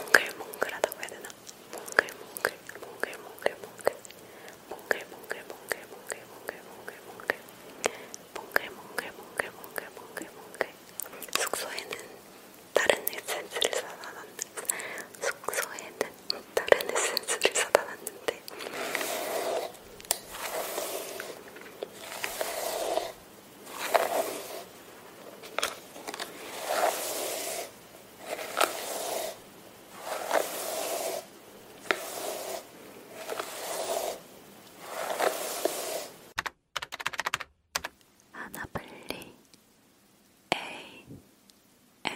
몽글몽글하다고 해야 되나? 몽글몽글, 몽글몽글, 몽글, 몽글몽글, 몽글, 몽글, 몽글, 몽글, 몽글, 몽글몽글, 몽글, 몽글, 몽글, 몽글. 숙소에는 다른 에센스를 사다 놨는데, 숙소에는 다른 에센스를 사다 놨는데. 하나블리 A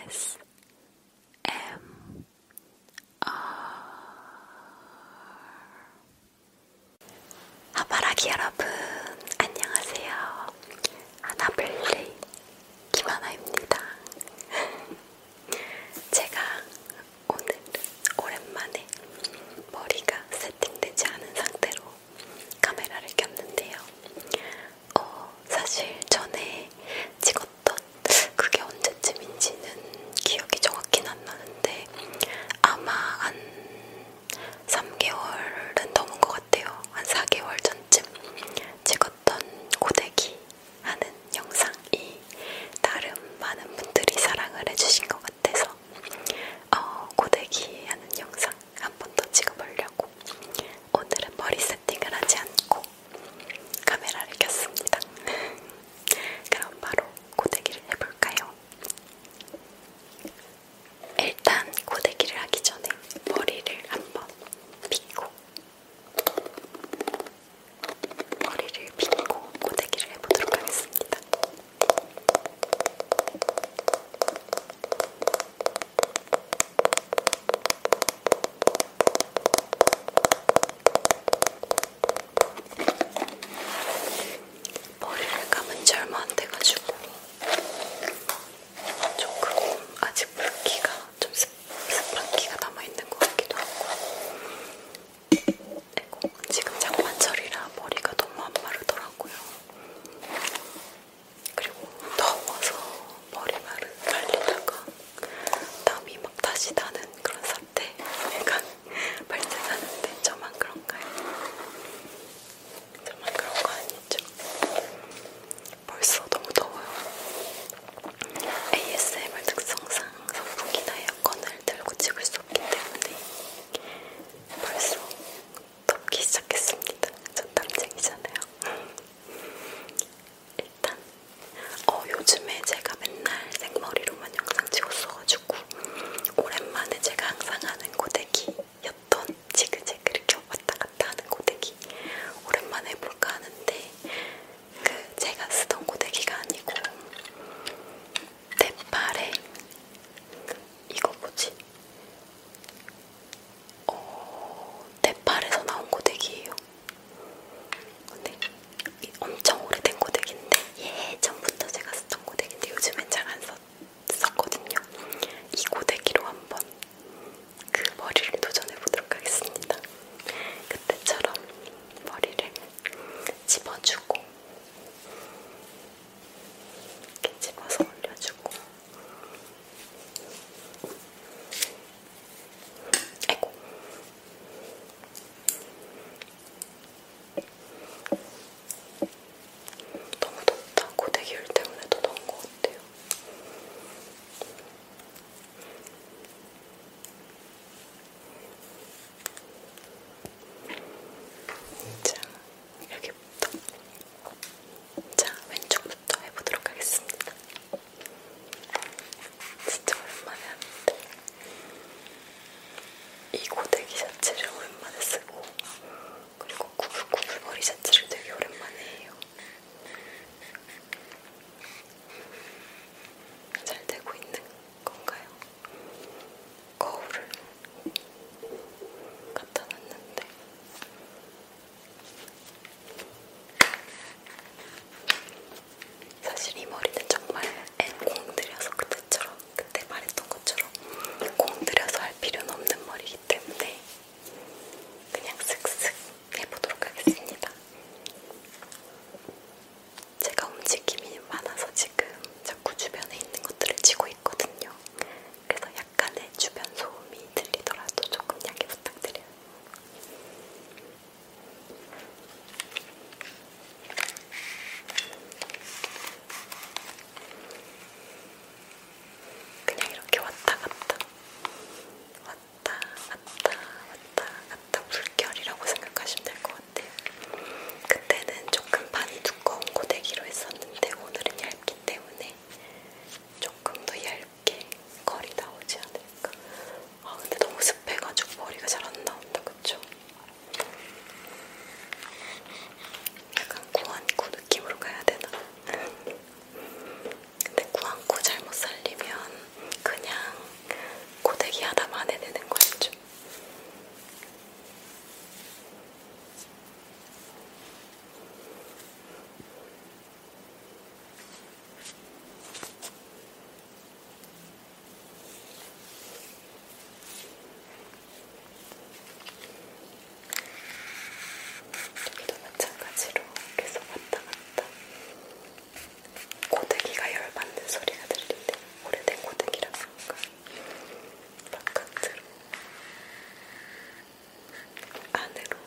S M R 하바라기 여러분 안녕하세요. 아나블리 김하나입니다. 제가 오늘 오랜만에 머리가 세팅되지 않은 상태로 카메라를 켰는데요. 어, 사실 전에 찍었던 그게 언제쯤인지는 기억이 정확히는 안 나는데 아마 한 3개월은 넘은 것 같아요. 한 4개월 전쯤 찍었던 고데기 하는 영상이 나름 많은 분들이 사랑을 해주신 것 같아서 어, 고데기 하는 영상 한 번 더 찍어보려고 오늘은 머리 세팅을 하지 않고 카메라를 켰습니다. 그럼 바로 고데기를 해볼까요? 일단 고데기를 하기 전에 머리를 한번 빗고 머리를 빗고 고데기를 해보도록 하겠습니다. 머리를 감은 지 얼마 안 돼가지고 조금 아직 물기가 좀 습, 습한기가 남아있는 것 같기도 하고 아이고, 지금 장마철이라 머리가 너무 안 마르더라고요. 그리고 더워서 머리 말은 말리다가 땀이 막 다시 나는 그런 사태. 약간 발색 하는데 저만 그런가요? 저만 그런 거 아니죠? 벌써 너무 더워요. ASMR 특성상 선풍기나 에어컨을 들고 찍을 수 없기 때문에 벌써 덥기 시작했습니다. 전 땀쟁이잖아요. 일단 어, 요즘에 제가 맨날 생머리로만 영상 찍었어가지고 있고 오랜만에 제가 항상 하는 고데기였던 지그재그 이렇게 왔다 갔다 하는 고데기 오랜만에 해볼까 하는데 그 제가 쓰던 고데기가 아니고 대팔에 이거 뭐지? 어, 대팔에서 나온 고데기예요. 근데 엄청 오래된 고데기인데 예전부터 제가 썼던 고데기인데 요즘엔 잘 안 썼거든요. 이 고데기로 한번 그 머리를 도전해보도록 하겠습니다. 그때처럼 머리를 집어주고 이렇게 집어서 올려주고 아이고 너무 덥다. 고데기율 때문에 더 더운 것 같아요. 자, 여기부터. 자, 왼쪽부터 해보도록 하겠습니다. 진짜 오랜만에 하는데. 이 고데기 셔츠를 오랜만에 쓰고 그리고 구불구불 머리 셔츠를 되게 오랜만에 해요. 잘 되고 있는 건가요? 거울을 갖다 놨는데 사실 이 머리는 정말 앤 공들여서 그때처럼 그때 말했던 것처럼 공들여서 할 필요는 없는 머리이기 때문에 그냥 슥슥 해보도록 하겠습니다. 제가 움직임이 많아서 지금 자꾸 주변에 있는 것들을 치고 있거든요. 그래서 약간의 주변 소음이 들리더라도 조금 양해 부탁드려요. 그냥 이렇게 왔다 갔다 왔다 갔다 왔다 갔다 물결이라고 생각하시면 될 것 같아요. 그때는 조금 반이 두꺼운 고데기로 했었는데 오늘은 얇기 때문에 조금 더 얇게 거리 나오지 않을까. 아 근데 너무 습해가지고 머리가 잘 안 나온다 그쵸? 약간 구안구 느낌으로 가야 되나? 근데 구안구 잘못 살리면 그냥 고데기 하다 만해되는 거였죠. 여기도 마찬가지로 계속 왔다 갔다 고데기가 열받는 소리가 들리는데 오래된 고데기라서 그런가 바깥으로 안으로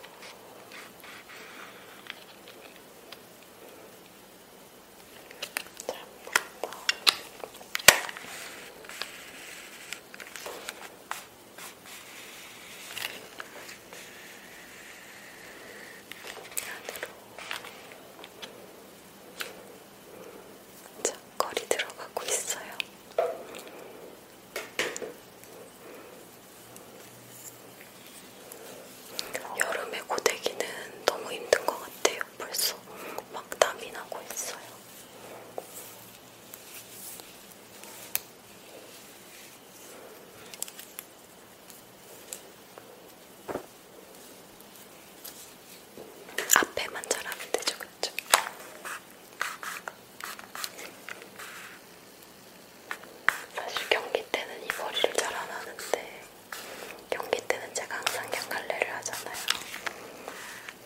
자, 거리 들어가고 있어요. 여름에 고데기는 너무 힘든 것 같아요. 벌써 막 땀이 나고 있어요. 앞에만 잘하면 되죠, 그쵸? 사실 경기 때는 이 머리를 잘 안 하는데 경기 때는 제가 항상 양갈래를 하잖아요.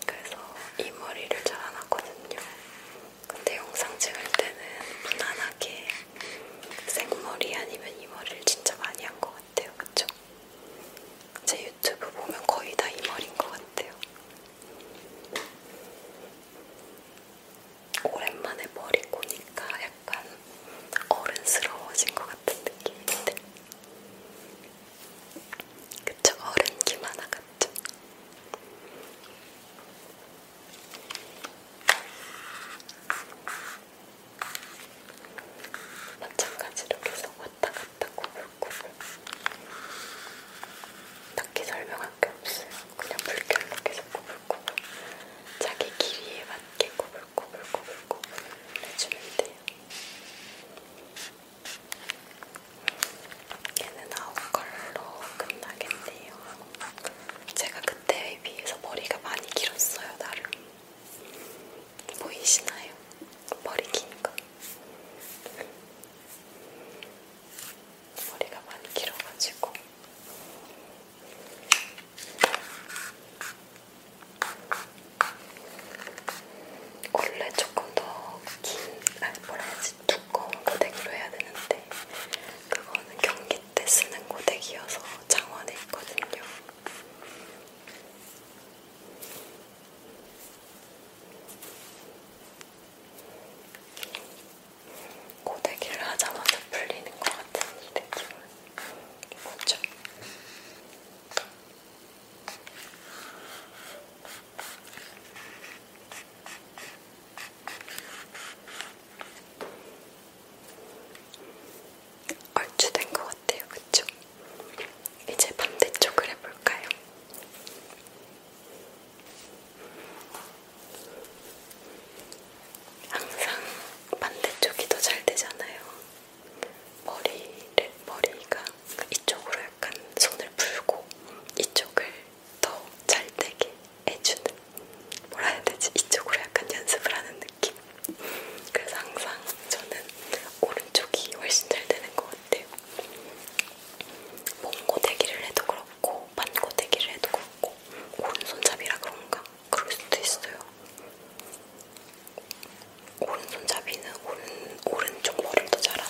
그래서 이 머리를 잘안 하거든요. 근데 영상 찍을 때는 무난하게 생머리 아니면 이 머리를 진짜 많이 한 것 같아요. 그쵸? 제 유튜브 보면 거의 다 이 머리인 것 같아요. 오랜만에 머리 꼬니까 약간 어른스러워진 것 같은 느낌인데 그쵸? 어른 김 하나 같죠? 마찬가지로 계속 왔다 갔다 구불구불 딱히 설명할 게 없어요. 그냥 물결로 계속 구불구불 자기 길이에 맞게 구불 고글고글고글 해주면 돼요. 얘는 아홉 컬러로 끝나겠네요. 제가 그때에 비해서 머리가 많이 길었어요, 나름. 보이시나요? 머리 긴 거. 머리가 많이 길어가지고 원래 조금 더긴 아니 뭐라 해야지 두꺼운 고데기로 해야 되는데 그거는 경기 때 쓰는 고데기여서 장원에 있거든요. 고데기를 하자마자 풀리는 것 같은 이 느낌을 고쳐. 얼추 된 것 같아요, 그쵸? 이제 반대쪽을 해볼까요? 항상 반대쪽이 더 잘 되잖아요. 머리를, 머리가 이쪽으로 약간 손을 풀고 이쪽을 더 잘 되게 해주는 뭐라 해야 되지? 이쪽으로 약간 연습을 하는 느낌. 그래서 항상 저는 오른쪽이 훨씬 잘 되는 것 같아요. 몽고데기를 해도 그렇고 반고데기를 해도 그렇고 오른손잡이라 그런가 그럴 수도 있어요. 오른손잡이는 오른, 오른쪽 머리를 더 잘하나?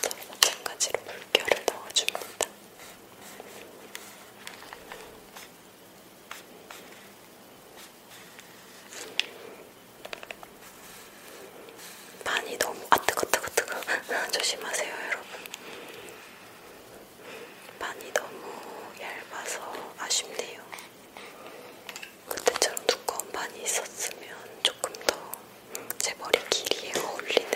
자, 마찬가지로 물결을 넣어줍니다. 많이 너무 아 뜨거 뜨거 뜨거 조심하세요 여러분 판이 너무 얇아서 아쉽네요. 그때처럼 두꺼운 판이 있었으면 조금 더 제 머리 길이에 어울리는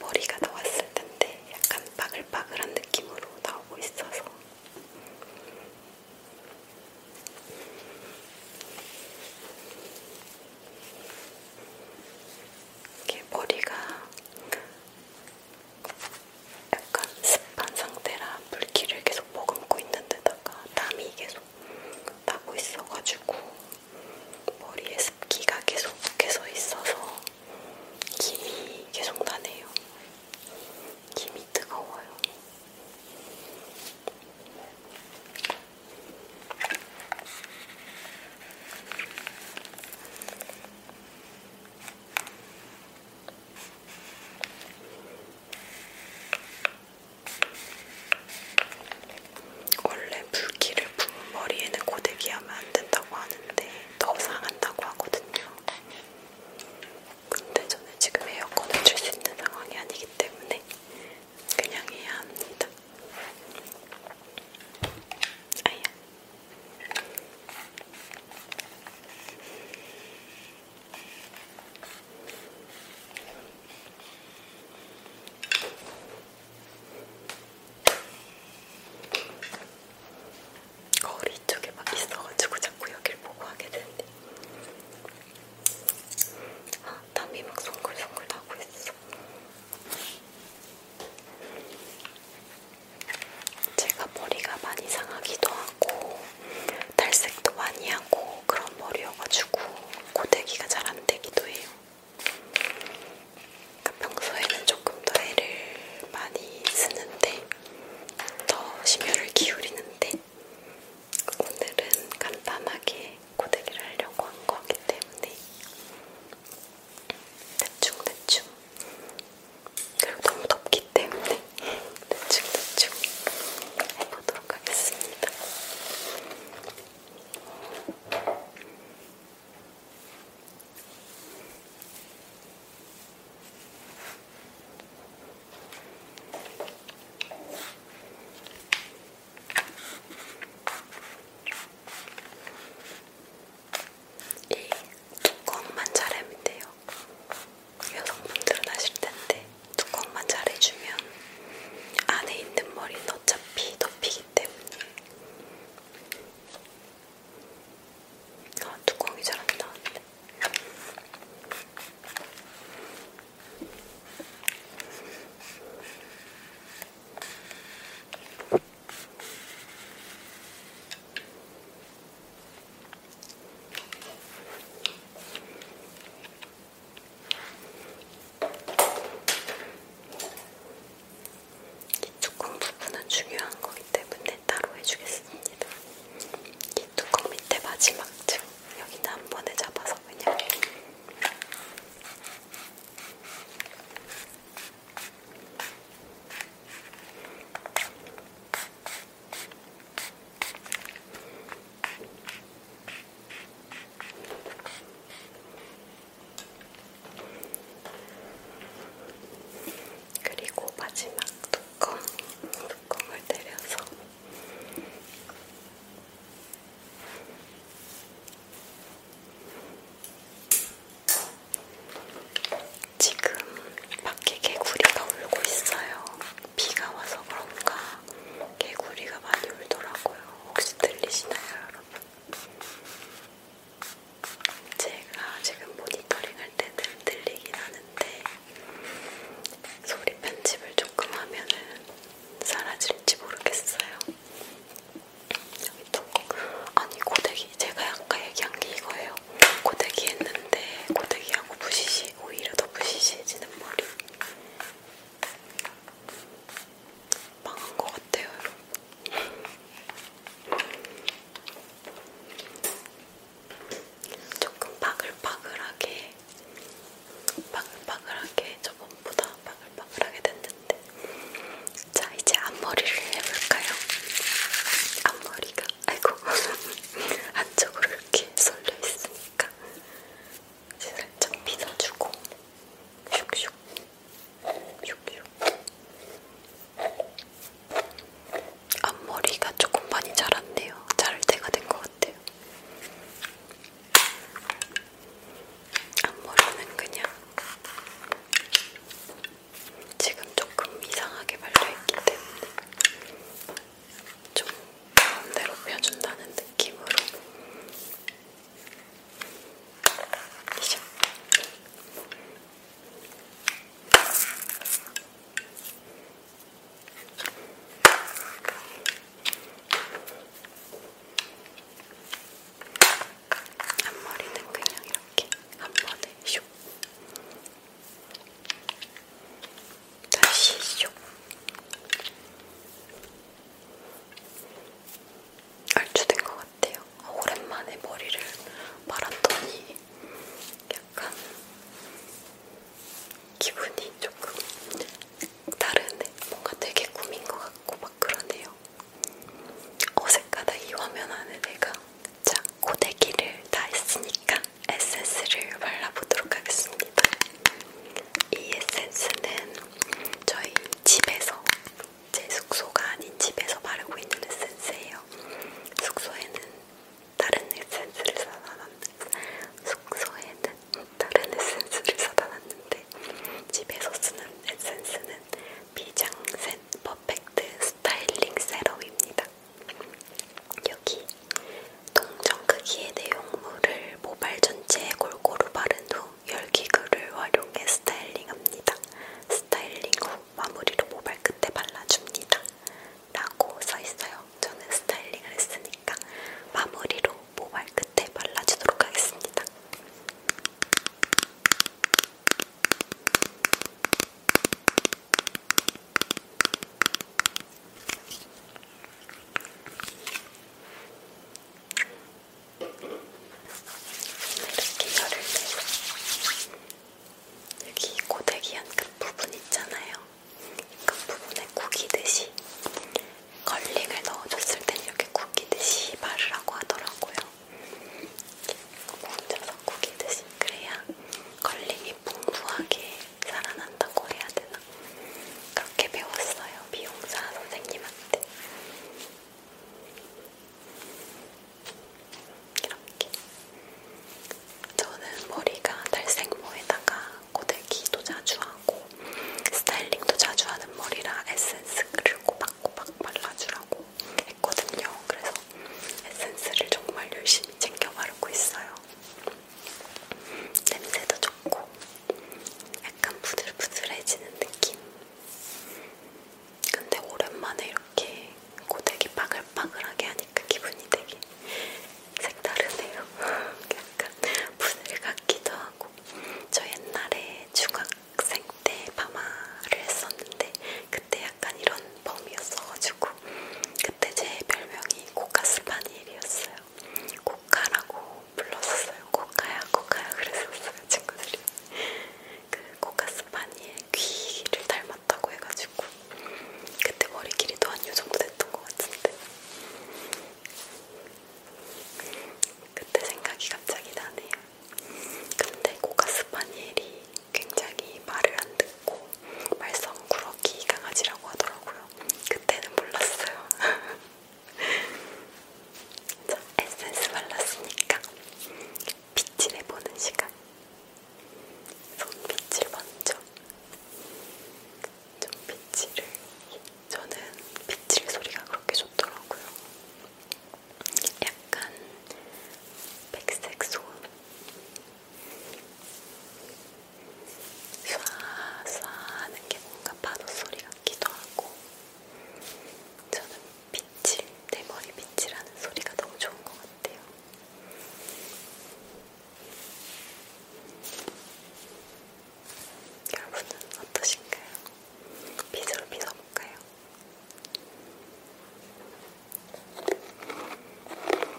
머리가 나왔을 텐데 약간 바글바글한 느낌으로 나오고 있어서 이게 머리가 약간 습한 상태라 물기를 계속 머금고 있는데다가 땀이 계속 나고 있어가지고 머리에 습기가 계속 계속 있어서 김이 계속 나네요. 김이 뜨거워요. 원래 물기를 부은 머리에는 고데기 하면 안 된다고 하는데 더 상한다고 하거든요. 근데 저는 지금 에어컨을 틀수 있는 상황이 아니기 때문에 그냥 해야 합니다. 아야. 거울 이쪽에 막 있어가지고 자꾸 여길 보고 하게 되는데 아, 땀이 막 송글송글 나고 있어. 제가 머리가 많이 상하기도 하고 탈색도 많이 하고 그런 머리여가지고 고데기가 잘 안 되기도 해요. 그러니까 평소에는 조금 더 애를 많이 쓰는데 더 심혈을 기울이는데 오늘은 간단하게 고데기를 하려고 한 거기 때문에 대충대충 그리고 너무 덥기 때문에 대충대충 해보도록 하겠습니다. 이 뚜껑만 잘하면 돼요. 여성분들은 아실 텐데 뚜껑만 잘해주면 안에 있는 머리는 어차피 덮이기 때문에 아, 뚜껑이 잘 안 나왔네. 뚜껑 부분은 중요한 거기 때문에 따로 해주겠습니다. 이 뚜껑 밑에 마지막 층 여기는 한 번에 잡아서 그냥 그리고 마지막 뚜껑, 뚜껑을 내려서 지금 밖에 개구리가 울고 있어요. 비가 와서 그런가 개구리가 많이 울더라고요. 혹시 들리시나요, 여러분? 제가 지금 모니터링 할 때는 들리긴 하는데 소리 편집을 조금 하면은 사라질지 모르겠어요. 여기 또 아니 고데기 제가 아까 얘기한 게 이거예요. 고데기 했는데 고데기하고 부시시 오히려 더 부시시해지는 머리 망한 것 같아요, 여러분. 조금 바글바글하게 바글바글하게 저번보다 바글바글하게 됐는데 자 이제 앞머리를 해볼까요? 앞머리가 아이고 안쪽으로 이렇게 쏠려 있으니까 이제 살짝 빗어주고 슉슉 슉슉 앞머리가 조금 많이 자랐네요. 자를 때가 된 것 같아요. 앞머리는 그냥 지금 조금 이상하게 발려있기 때문에 좀 가운데로 펴준다는 느낌으로 이죠. 앞머리는 그냥 이렇게 한 번에 슉 다시 슉 알추된 것 같아요. 오랜만에 머리를 말았더니 약간 기분이 조금 다른 뭔가 되게 꾸민 것 같고 막 그러네요. 어색하다 이 화면 안에 내가 자 고데기를 다 했으니까 에센스를 발라보도록 하겠습니다. 이 에센스는 저희 집에서 제 숙소가 아닌 집에서 바르고 있는 에센스예요. 숙소에는 다른 에센스를 사다 놨는데 숙소에는 다른 에센스를 사다 놨는데 집에서 쓰는 에센스는 비장센 퍼펙트 스타일링 세럼입니다. 여기 동전 크기의 내용물을 모발 전체에 골고루 바른 후 열기구를 활용해 스타일링합니다. 스타일링 후 마무리로 모발 끝에 발라줍니다. 라고 써있어요. 저는 스타일링을 했으니까 마무리로 모발 끝에 발라주도록 하겠습니다. 이렇게 열을 내고 여기 고데기 한끝 부분 있잖아요. 끝부분에 그 구기듯이 걸링을 넣어줬을 땐 이렇게 구기듯이 바르라고 하더라고요. 얹어서 그 구기듯이 그래야 걸링이 풍부하게 살아난다고 해야 되나? 그렇게 배웠어요. 미용사 선생님한테. 이렇게. 저는 머리가 달색모에다가 고데기도 자주 하고 하고 스타일링도 자주 하는 머리라 에센스 그리고 박고박 발라주라고 했거든요. 그래서 에센스를 정말 열심히 챙겨 바르고 있어요. 냄새도 좋고 약간 부들부들해지는 느낌. 근데 오랜만에 이렇게 고데기 바글바글하게 하니까 기분이 되게 색다르네요. 약간 분을 같기도 하고 저 옛날에 중학생 때 파마를 했었는데 그때 약간 이런 범이었어가지고 그때 제 별명이 고카스파니엘이었어요. 고카라고 불렀었어요. 고카야 고카야 그랬었어요 친구들이. 그 고카스파니엘 귀를 닮았다고 해가지고 그때 머리 길이도 한 요 정도 됐던 것 같은데 그때 생각이 갑자기 나네요. 근데 고가스파니엘이 굉장히 말을 안 듣고 말썽꾸러기 강아지라고 하더라고요. 그때는 몰랐어요. 자, 에센스 발랐으니까 빛을 해보는 시간. 손빛을 먼저 좀 빗질을 저는 빗질 소리가 그렇게 좋더라고요. 약간 백색 소음 쏴쏴 하는 게 뭔가 파도 소리 같기도 하고 저는 빗질, 내 머리 빗질하는 소리가 너무 좋은 것 같아요. 여러분은 어떠신가요? 빗으로 빗어볼까요?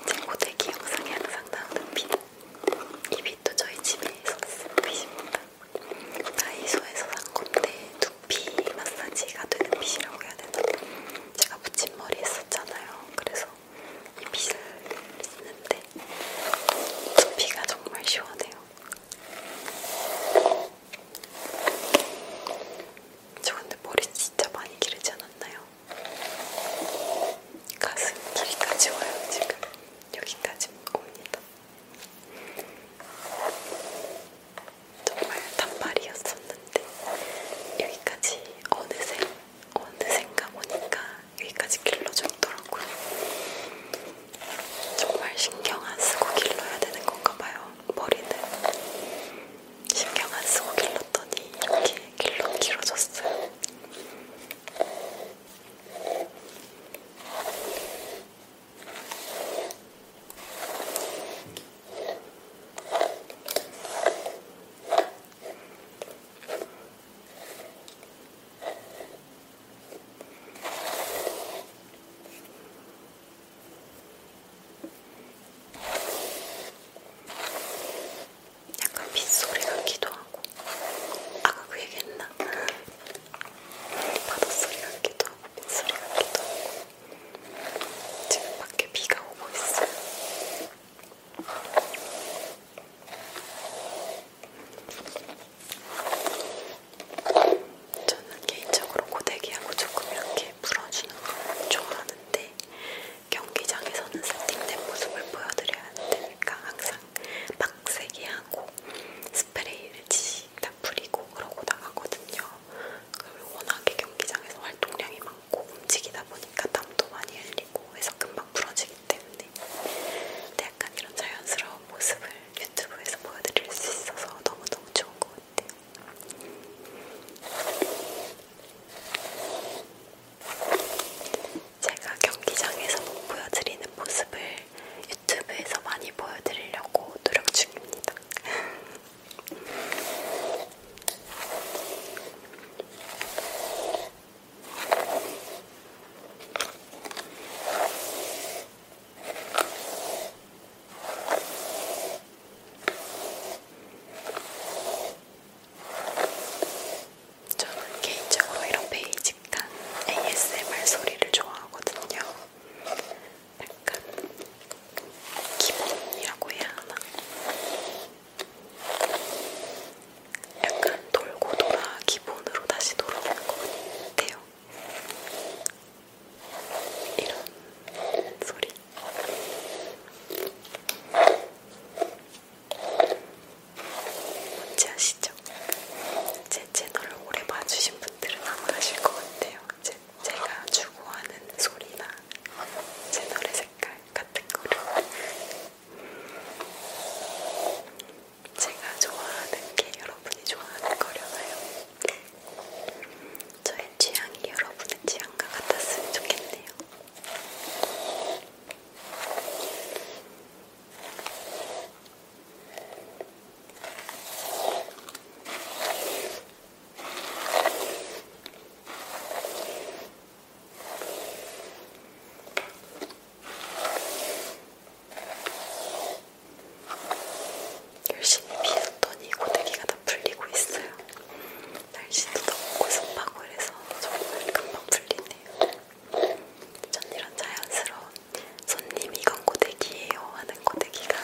제 고데기 영상에 항상 나오는 빗. 이 빗도 저희 집에서 쓴 빗입니다. 다이소에서 산 건데 두피 마사지가 되는 빗이라고 해야 되나? 제가 붙임머리 했었잖아요. 그래서 빗을 했는데 비가 정말 시원해요. 저 근데 머리 진짜 많이 기르지 않았나요? 가슴 길이까지 와요 지금 여기까지 옵니다. 정말 단발이었었는데 여기까지 어느새 어느샌가 보니까 여기까지 길러줬더라고요. 정말 신경 안 쓰고 길러야 되는 건가 봐요. 머리는 신경 안 쓰고 길렀더니 이렇게 길러 길어졌어요. 약간 빗소리 같기도 하고 아까 그 얘기했나? 바닷소리 같기도 하고 빗소리 같기도 하고 지금 밖에 비가 오고 있어요 저는 개인적으로 고데기하고 조금 이렇게 풀어주는 걸 좋아하는데 경기장에서는 세팅된 모습을 보여드려야 되니까 항상 박세게 하고 스프레이를 다 뿌리고 그러고 나가거든요. 워낙에 경기장에서 활동량이 많고 많고 움직이다 보니까 땀도 많이 흘리고 해서 금방 부러지기 때문에 근데 약간 이런 자연스러운 모습을 유튜브에서 보여드릴 수 있어서 너무너무 좋은 것 같아요. 제가 경기장에서 못 보여드리는 모습을 유튜브에서 많이 보여드리려고 노력 중입니다. 저는 개인적으로 이런 베이직한 ASMR 소리를 좋아하거든요. 약간 기본이라고 해야 하나? 약간 돌고 돌아 기본으로 다시 돌아오는 것 같아요. 이런 소리. 뭔지 아시죠? 제 채널을 오래 봐주신 분들은 안 아실 것 같아요. 제, 제가 추구하는 소리나 채널의 색깔 같은 거를 제가 좋아하는 게 여러분이 좋아하는 거려나요? 저의 취향이 여러분의 취향과 같았으면 좋겠네요. 열심히 비웠더니 고데기가 다 풀리고 있어요. 날씨도 덥고 습하고 그래서 정말 금방 풀리네요. 전 이런 자연스러운 손님 이건 고데기예요 하는 고데기가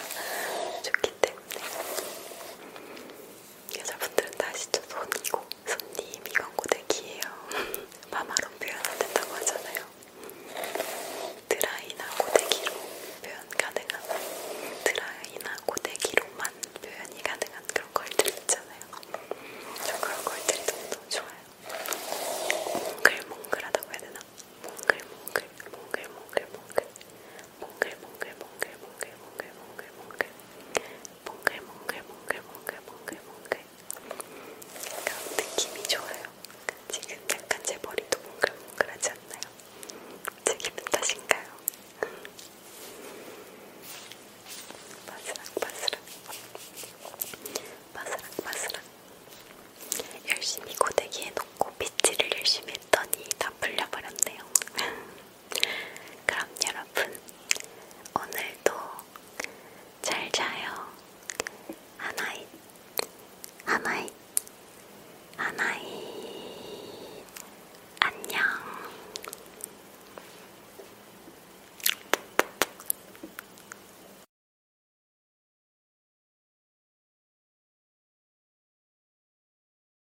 좋기 때문에 여자분들은 다 아시죠? 손이고 손님 이건 고데기예요. 마마론 표현 안 된다고 하잖아요. 드라이나 고데기로 표현 가능한 드라이나 고데기로만 표현이 가능한 그런 걸들 있잖아요. 저 그런 걸들이 너무 좋아요. 몽글몽글하다고 해야 되나? 몽글몽글 몽글몽글 몽글 몽글몽글몽글몽글몽글몽글몽글몽글몽글몽글몽글몽글몽글 약간 느낌이 좋아요. 지금 약간 제 머리도 몽글몽글하지 않나요? 제 기분 탓인가요? 바스락 바스락 바스락 바스락 열심히 고데기에 놓고 빗질을 열심히 했더니 다 풀려버렸네요. 그럼 여러분, 오늘도 잘 자요. 하나이, 하나이, 하나이. 안녕.